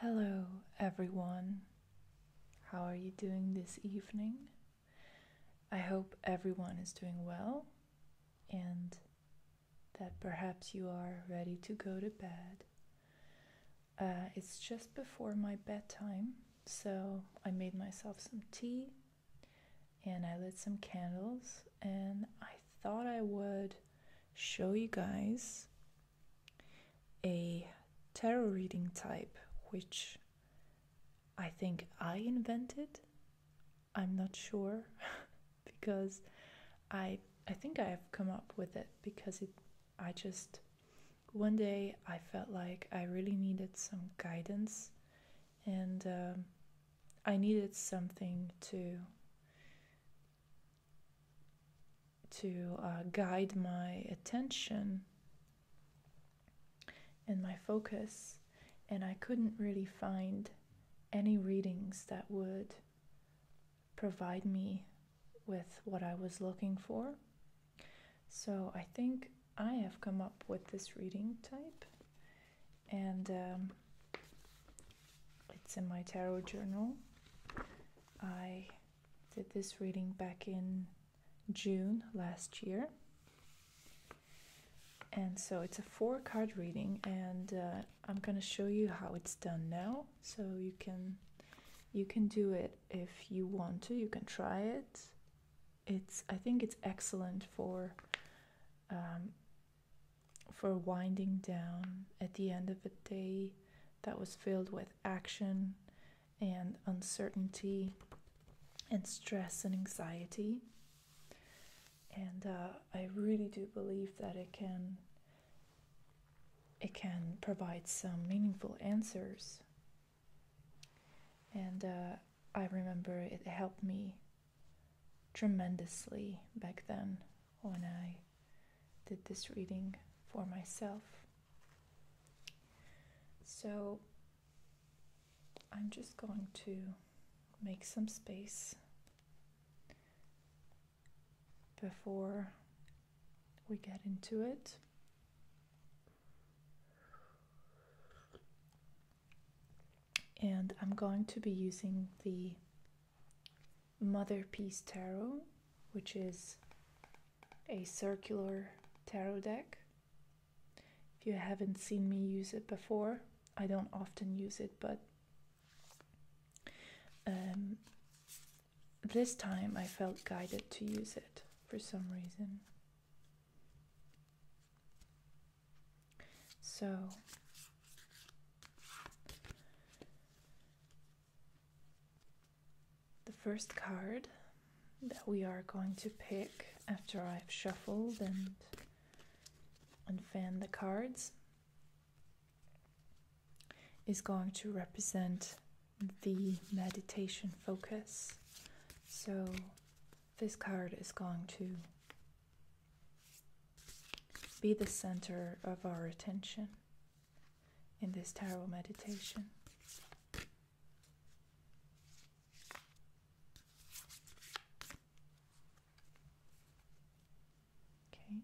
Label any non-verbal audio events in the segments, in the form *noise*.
Hello, everyone. How are you doing this evening? I hope everyone is doing well and that perhaps you are ready to go to bed. Uh, it's just before my bedtime, so I made myself some tea and I lit some candles, and I thought I would show you guys a tarot reading type which I think I invented. I'm not sure *laughs* because I I think I have come up with it because it I just one day I felt like I really needed some guidance and um, I needed something to to uh, guide my attention and my focus and I couldn't really find any readings that would provide me with what I was looking for. So I think I have come up with this reading type, and um, it's in my tarot journal. I did this reading back in June last year. And so it's a four card reading, and uh, I'm going to show you how it's done now so you can you can do it if you want to you can try it it's i think it's excellent for um, for winding down at the end of a day that was filled with action and uncertainty and stress and anxiety and uh, i really do believe that it can it can provide some meaningful answers. And uh, I remember it helped me tremendously back then when I did this reading for myself. So I'm just going to make some space before we get into it. And I'm going to be using the Mother Piece Tarot, which is a circular tarot deck. If you haven't seen me use it before, I don't often use it, but um, this time I felt guided to use it for some reason. So, the first card that we are going to pick after I've shuffled and unfanned the cards is going to represent the meditation focus. So this card is going to be the center of our attention in this tarot meditation. Okay.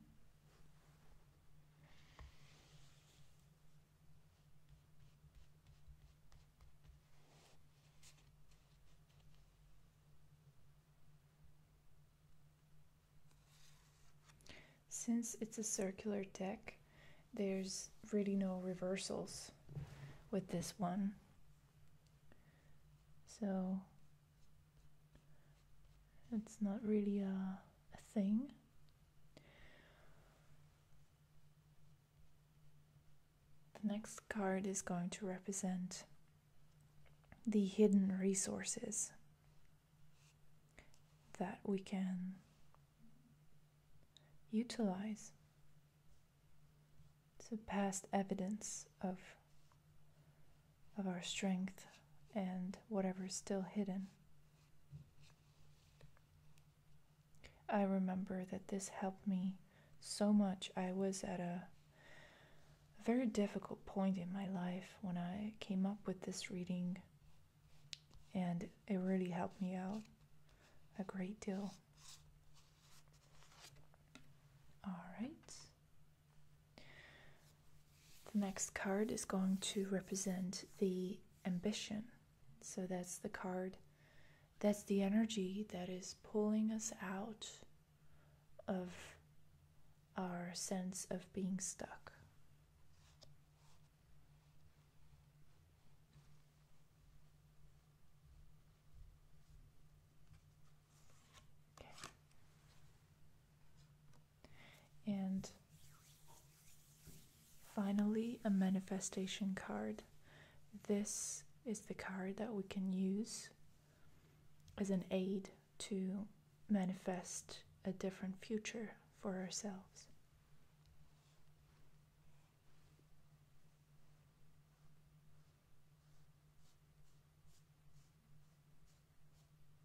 Since it's a circular deck, there's really no reversals with this one. So it's not really a, thing. The next card is going to represent the hidden resources that we can utilize. to past evidence of of our strength and whatever is still hidden. I remember that this helped me so much. I was at a very difficult point in my life when I came up with this reading, and it really helped me out a great deal. All right. The next card is going to represent the ambition. So that's the card. That's the energy that is pulling us out of our sense of being stuck. And finally, a manifestation card. This is the card that we can use as an aid to manifest a different future for ourselves.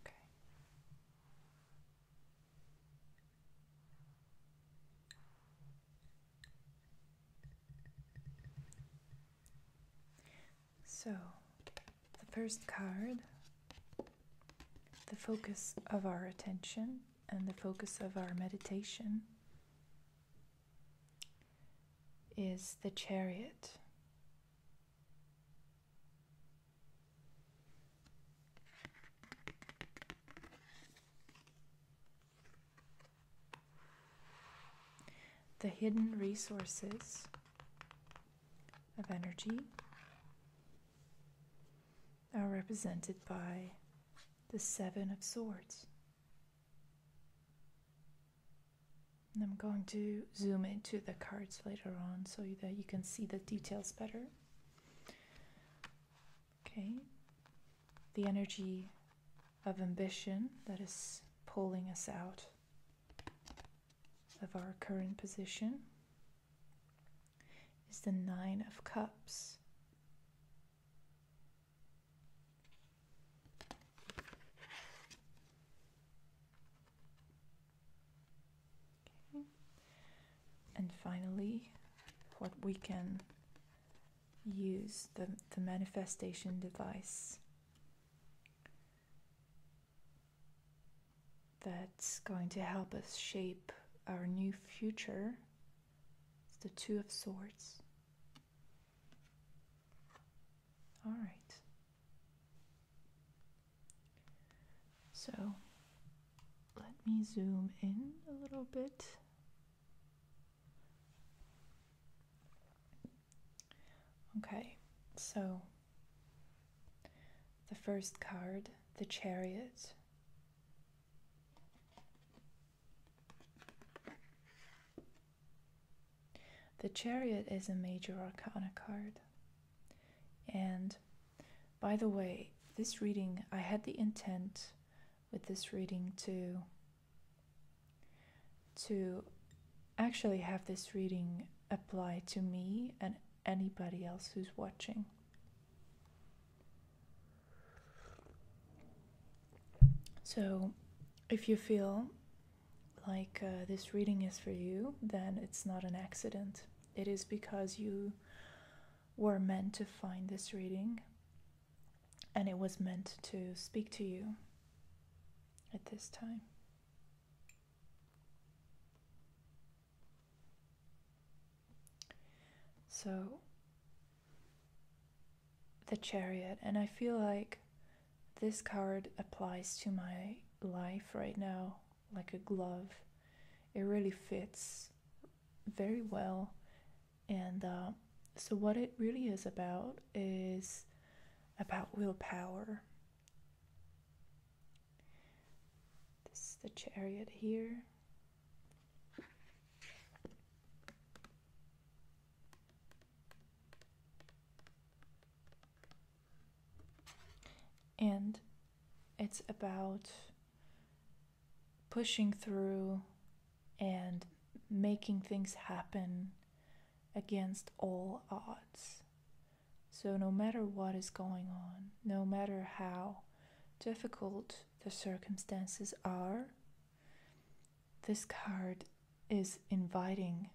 Okay. So, the first card, the focus of our attention and the focus of our meditation is the chariot. The hidden resources of energy are represented by the Seven of Swords. I'm going to zoom into the cards later on so that you can see the details better. Okay, the energy of ambition that is pulling us out of our current position is the Nine of Cups. And finally, what we can use the, the manifestation device that's going to help us shape our new future. It's the Two of Swords. All right. So let me zoom in a little bit. Okay, so the first card, the chariot. The chariot is a major arcana card. And by the way, this reading, I had the intent with this reading to to actually have this reading apply to me and anybody else who's watching. So, if you feel like uh, this reading is for you, then it's not an accident. It is because you were meant to find this reading and it was meant to speak to you at this time. So, the chariot and i feel like this card applies to my life right now like a glove it really fits very well and uh, so what it really is about is about willpower this is the chariot here and it's about pushing through and making things happen against all odds. So, no matter what is going on, no matter how difficult the circumstances are, this card is inviting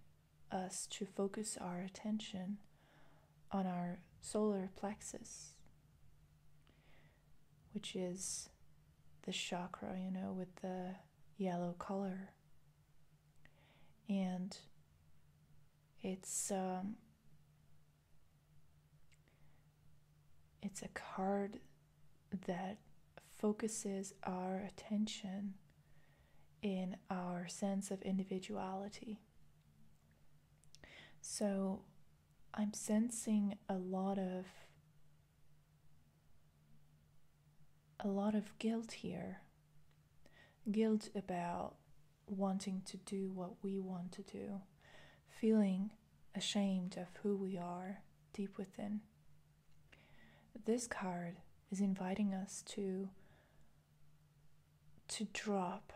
us to focus our attention on our solar plexus, which is the chakra, you know, with the yellow color. And it's um, it's a card that focuses our attention in our sense of individuality. So I'm sensing a lot of a lot of guilt here. Guilt about wanting to do what we want to do, feeling ashamed of who we are deep within. This card is inviting us to to drop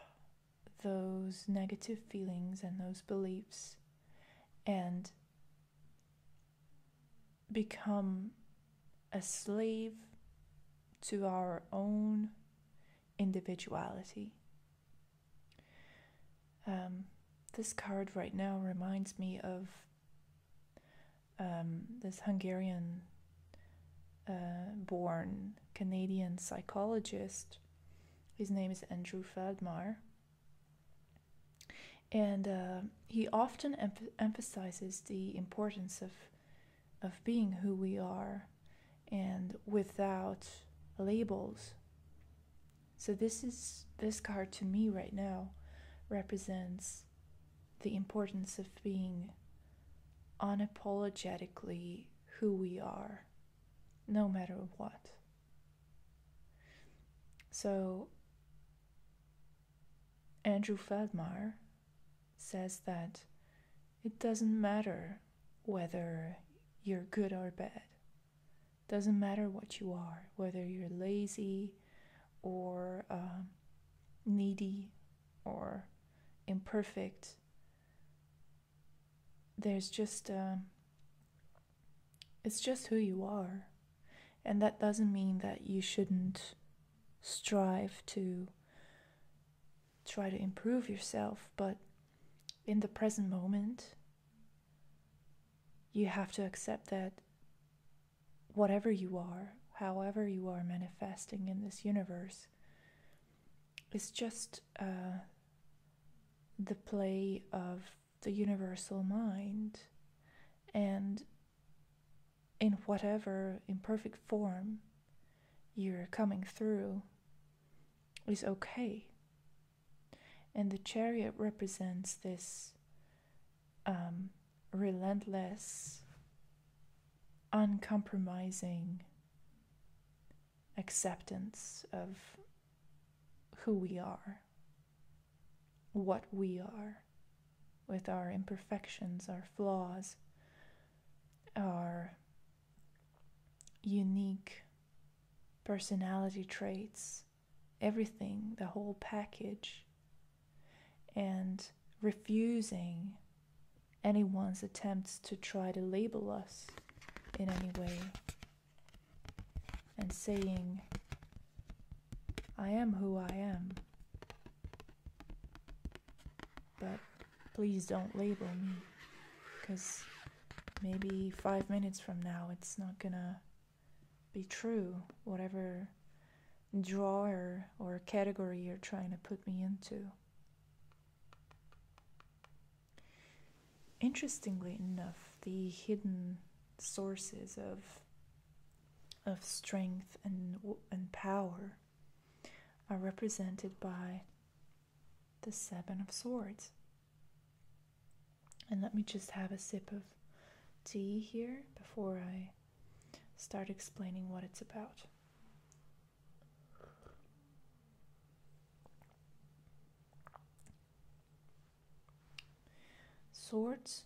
those negative feelings and those beliefs and become a slave to our own individuality. Um, this card right now reminds me of um, this Hungarian uh, born Canadian psychologist. His name is Andrew Feldmar. And uh, he often emphasizes the importance of, of being who we are and without labels. So this is this card to me right now represents the importance of being unapologetically who we are no matter what. So Andrew Feldmar says that it doesn't matter whether you're good or bad. Doesn't matter what you are, whether you're lazy or um, needy or imperfect. There's just, um, it's just who you are. And that doesn't mean that you shouldn't strive to try to improve yourself, but in the present moment, you have to accept that whatever you are, however you are manifesting in this universe, is just uh, the play of the universal mind. And in whatever imperfect form you're coming through is okay. And the chariot represents this um, relentless, uncompromising acceptance of who we are, what we are, with our imperfections, our flaws, our unique personality traits everything, the whole package, and refusing anyone's attempts to try to label us in any way, and saying, I am who I am, but please don't label me, because maybe five minutes from now it's not gonna be true, whatever drawer or category you're trying to put me into. Interestingly enough, the hidden sources of of strength and and power are represented by the seven of swords and let me just have a sip of tea here before I start explaining what it's about. Swords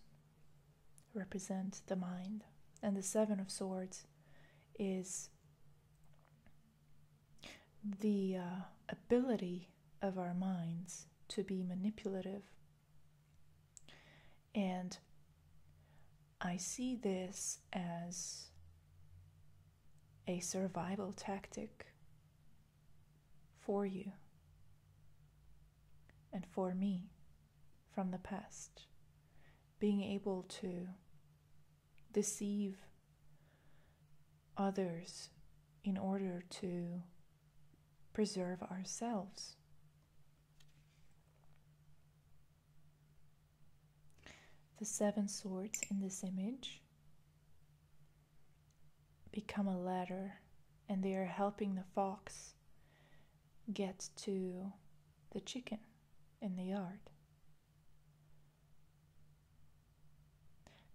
represent the mind, and the Seven of Swords is the uh, ability of our minds to be manipulative and I see this as a survival tactic for you and for me from the past. Being able to deceive others in order to preserve ourselves. The seven swords in this image become a ladder and they are helping the fox get to the chicken in the yard.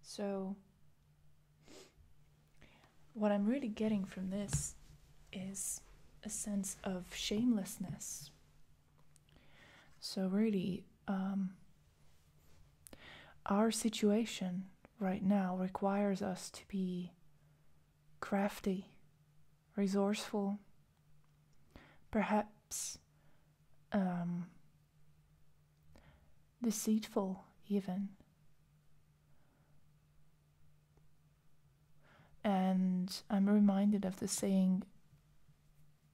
So what I'm really getting from this is a sense of shamelessness. So, really, um, our situation right now requires us to be crafty, resourceful, perhaps um, deceitful, even. And I'm reminded of the saying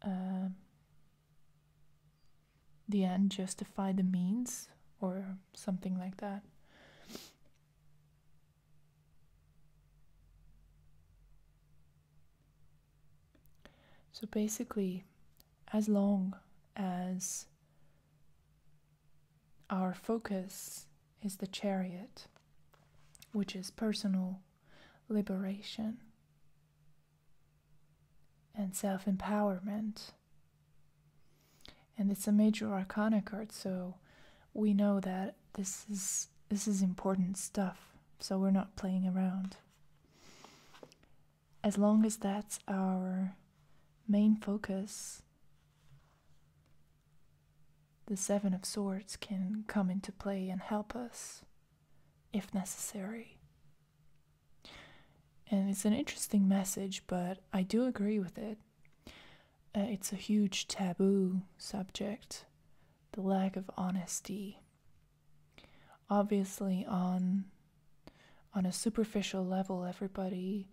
uh, the end justify the means, or something like that. So basically, as long as our focus is the chariot, which is personal liberation and self empowerment. And it's a major arcana card, so we know that this is this is important stuff, so we're not playing around. As long as that's our main focus, the Seven of Swords can come into play and help us if necessary. And it's an interesting message, but I do agree with it. Uh, it's a huge taboo subject the lack of honesty. Obviously, on on a superficial level, everybody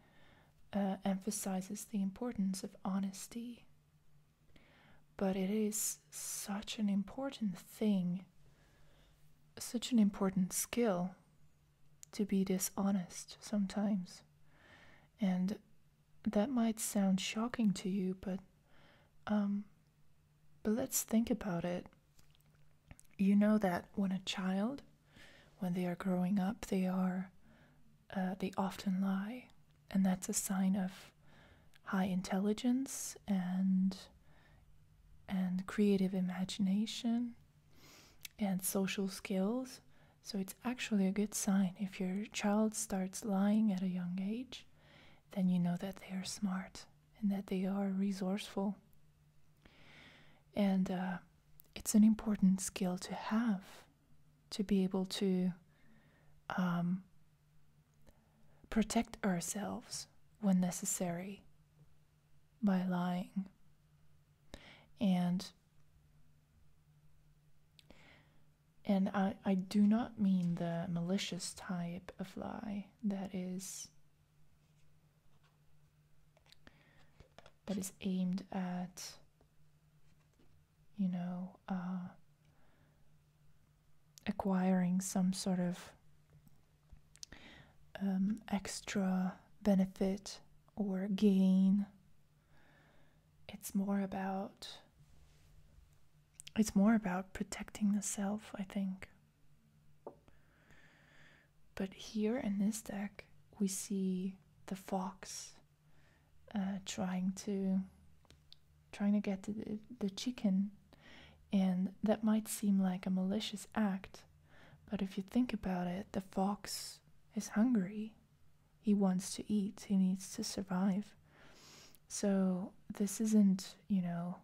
uh, emphasizes the importance of honesty. But it is such an important thing, such an important skill to be dishonest sometimes. And that might sound shocking to you, but um, but let's think about it. You know that when a child when they are growing up, they are uh, they often lie, and that's a sign of high intelligence and and creative imagination and social skills. So it's actually a good sign if your child starts lying at a young age, then you know that they are smart and that they are resourceful. And uh, it's an important skill to have to be able to um, protect ourselves when necessary by lying. And and I, I do not mean the malicious type of lie that is that is aimed at you know, uh, acquiring some sort of um, extra benefit or gain. It's more about it's more about protecting the self, I think. But here in this deck, we see the fox uh, trying to trying to get the, chicken and that might seem like a malicious act but if you think about it the fox is hungry he wants to eat he needs to survive so this isn't you know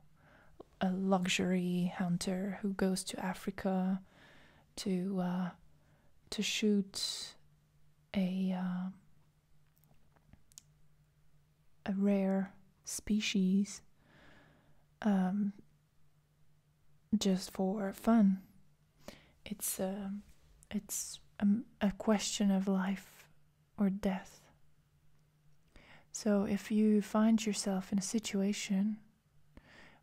a luxury hunter who goes to africa to uh, to shoot a um, a rare species um, just for fun. It's uh, it's a question of life or death. So if you find yourself in a situation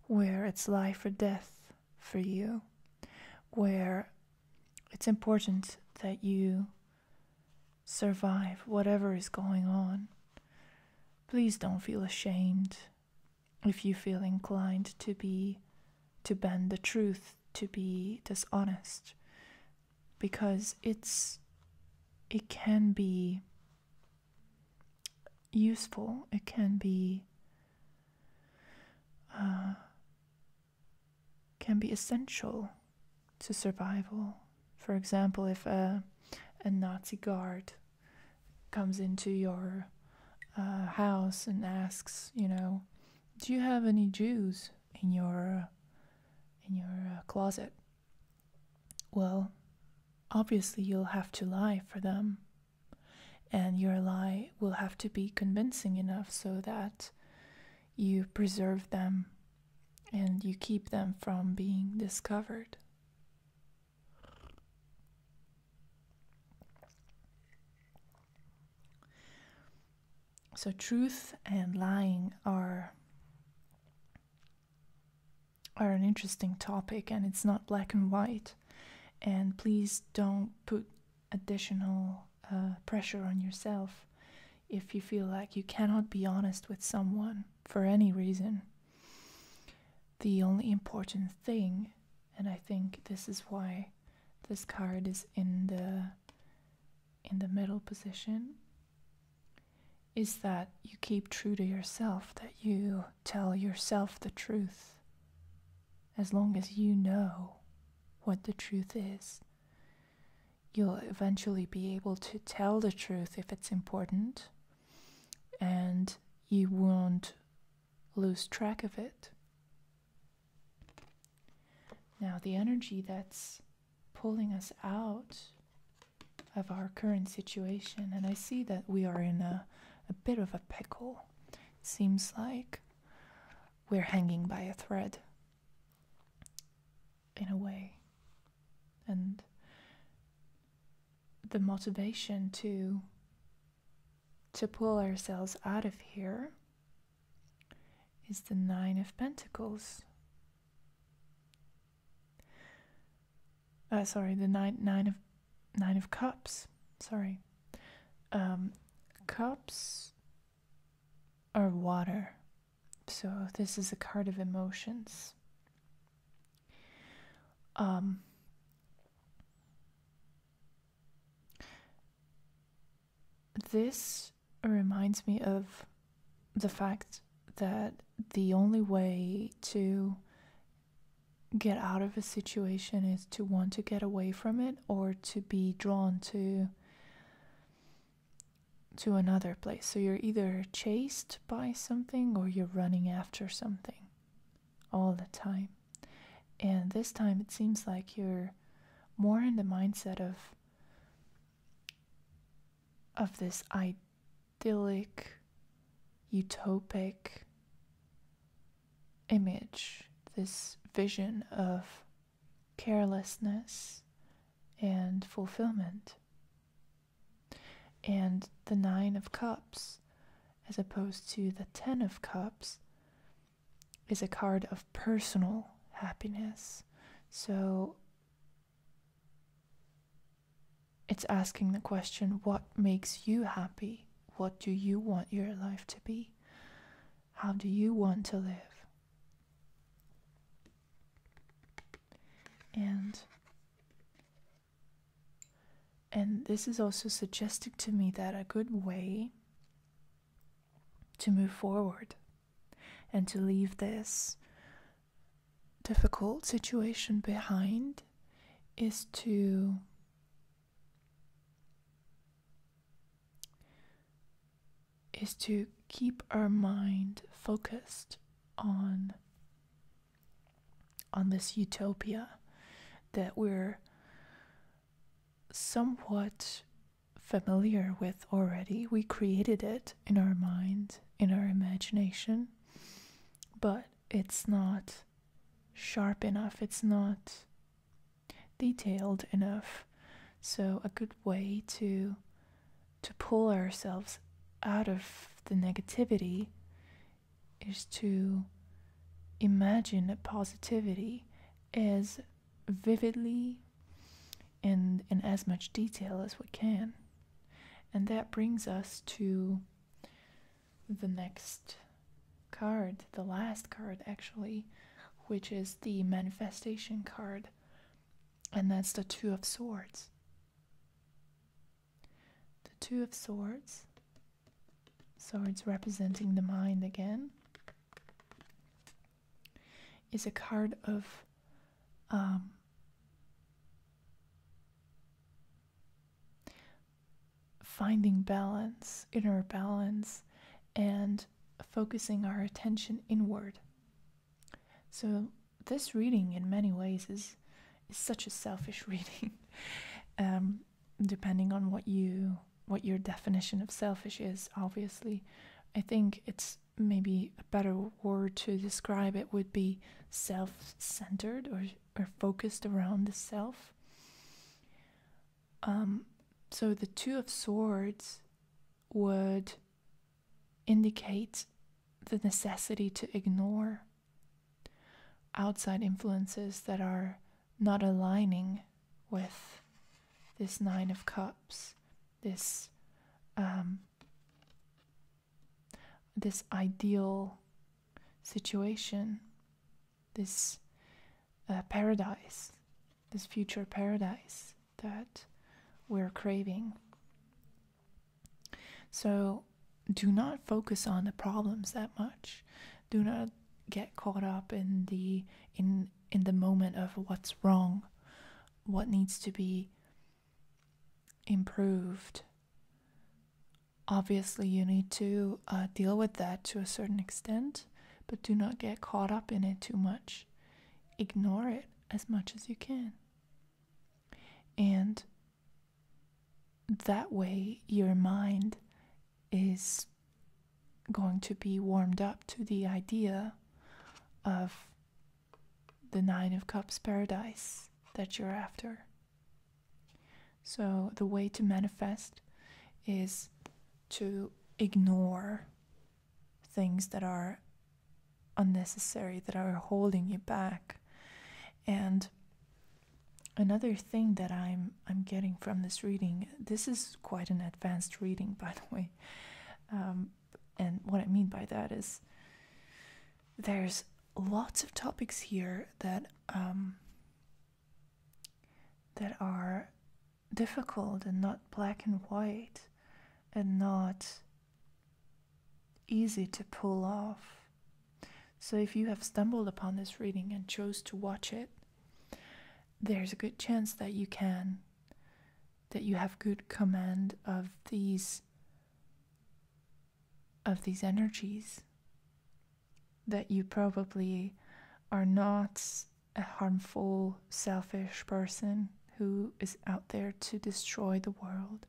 where it's life or death for you where it's important that you survive whatever is going on. Please don't feel ashamed if you feel inclined to be to bend the truth, to be dishonest because it's it can be useful, it can be uh, can be essential to survival. For example, if a, Nazi guard comes into your uh, house and asks, you know, do you have any Jews in your in your uh, closet? Well, obviously you'll have to lie for them and your lie will have to be convincing enough so that you preserve them and you keep them from being discovered. So, truth and lying are, are an interesting topic and it's not black and white. And please don't put additional uh, pressure on yourself if you feel like you cannot be honest with someone for any reason. The only important thing, and I think this is why this card is in the in the middle position is that you keep true to yourself, that you tell yourself the truth as long as you know what the truth is, you'll eventually be able to tell the truth if it's important, and you won't lose track of it. Now, the energy that's pulling us out of our current situation, and I see that we are in a, bit of a pickle. seems like we're hanging by a thread in a way. And the motivation to to pull ourselves out of here is the 9 of pentacles. Uh, sorry, the nine, nine of nine of cups. Sorry. Um, cups are water. So this is a card of emotions. Um, this reminds me of the fact that the only way to get out of a situation is to want to get away from it or to be drawn to to another place. So you're either chased by something or you're running after something all the time. And this time it seems like you're more in the mindset of of this idyllic utopic image, this vision of carelessness and fulfillment. And the Nine of Cups, as opposed to the Ten of Cups, is a card of personal happiness. So it's asking the question what makes you happy? What do you want your life to be? How do you want to live? And and this is also suggested to me that a good way to move forward and to leave this difficult situation behind is to is to keep our mind focused on on this utopia that we're somewhat familiar with already. We created it in our mind, in our imagination, but it's not sharp enough. It's not detailed enough. So a good way to to pull ourselves out of the negativity is to imagine a positivity as vividly and in as much detail as we can. And that brings us to the next card, the last card actually, which is the manifestation card, and that's the Two of Swords. The Two of Swords, swords representing the mind again, is a card of um, finding balance, inner balance, and focusing our attention inward. So this reading, in many ways, is is such a selfish *laughs* reading. Um, depending on what you what your definition of selfish is, obviously, I think it's maybe a better word to describe it would be self-centered or or focused around the self. Um, so the Two of Swords would indicate the necessity to ignore outside influences that are not aligning with this Nine of Cups, this um, this ideal situation this uh, paradise, this future paradise that we're craving. So do not focus on the problems that much. Do not get caught up in the in in the moment of what's wrong, what needs to be improved. Obviously, you need to uh, deal with that to a certain extent, but do not get caught up in it too much. Ignore it as much as you can. And that way, your mind is going to be warmed up to the idea of the Nine of Cups paradise that you're after. So, the way to manifest is to ignore things that are unnecessary, that are holding you back. And another thing that I'm I'm getting from this reading, this is quite an advanced reading, *laughs* by the way. Um, and what I mean by that is there's lots of topics here that um, that are difficult and not black and white and not easy to pull off. So if you have stumbled upon this reading and chose to watch it, there's a good chance that you can, that you have good command of these of these energies that you probably are not a harmful, selfish person who is out there to destroy the world.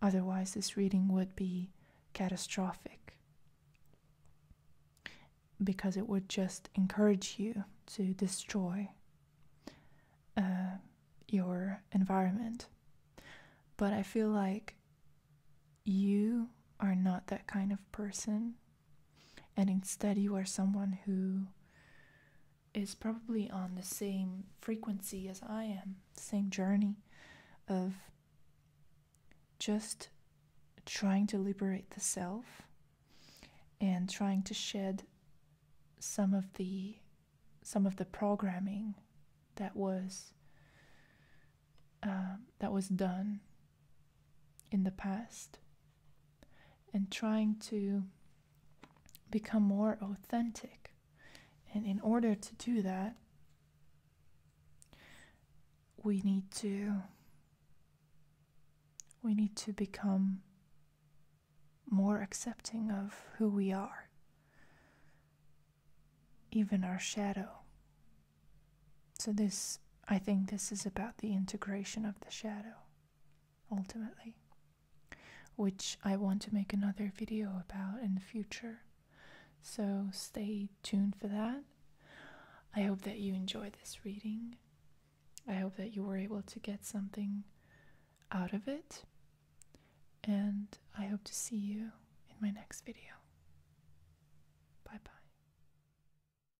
Otherwise, this reading would be catastrophic because it would just encourage you to destroy uh, your environment. But I feel like you are not that kind of person and instead you are someone who is probably on the same frequency as I am, same journey of just trying to liberate the self and trying to shed some of the some of the programming that was uh, that was done in the past and trying to become more authentic. And in order to do that, we need to we need to become more accepting of who we are even our shadow so this I think this is about the integration of the shadow ultimately which I want to make another video about in the future. So stay tuned for that. I hope that you enjoy this reading. I hope that you were able to get something out of it. And I hope to see you in my next video. Bye bye.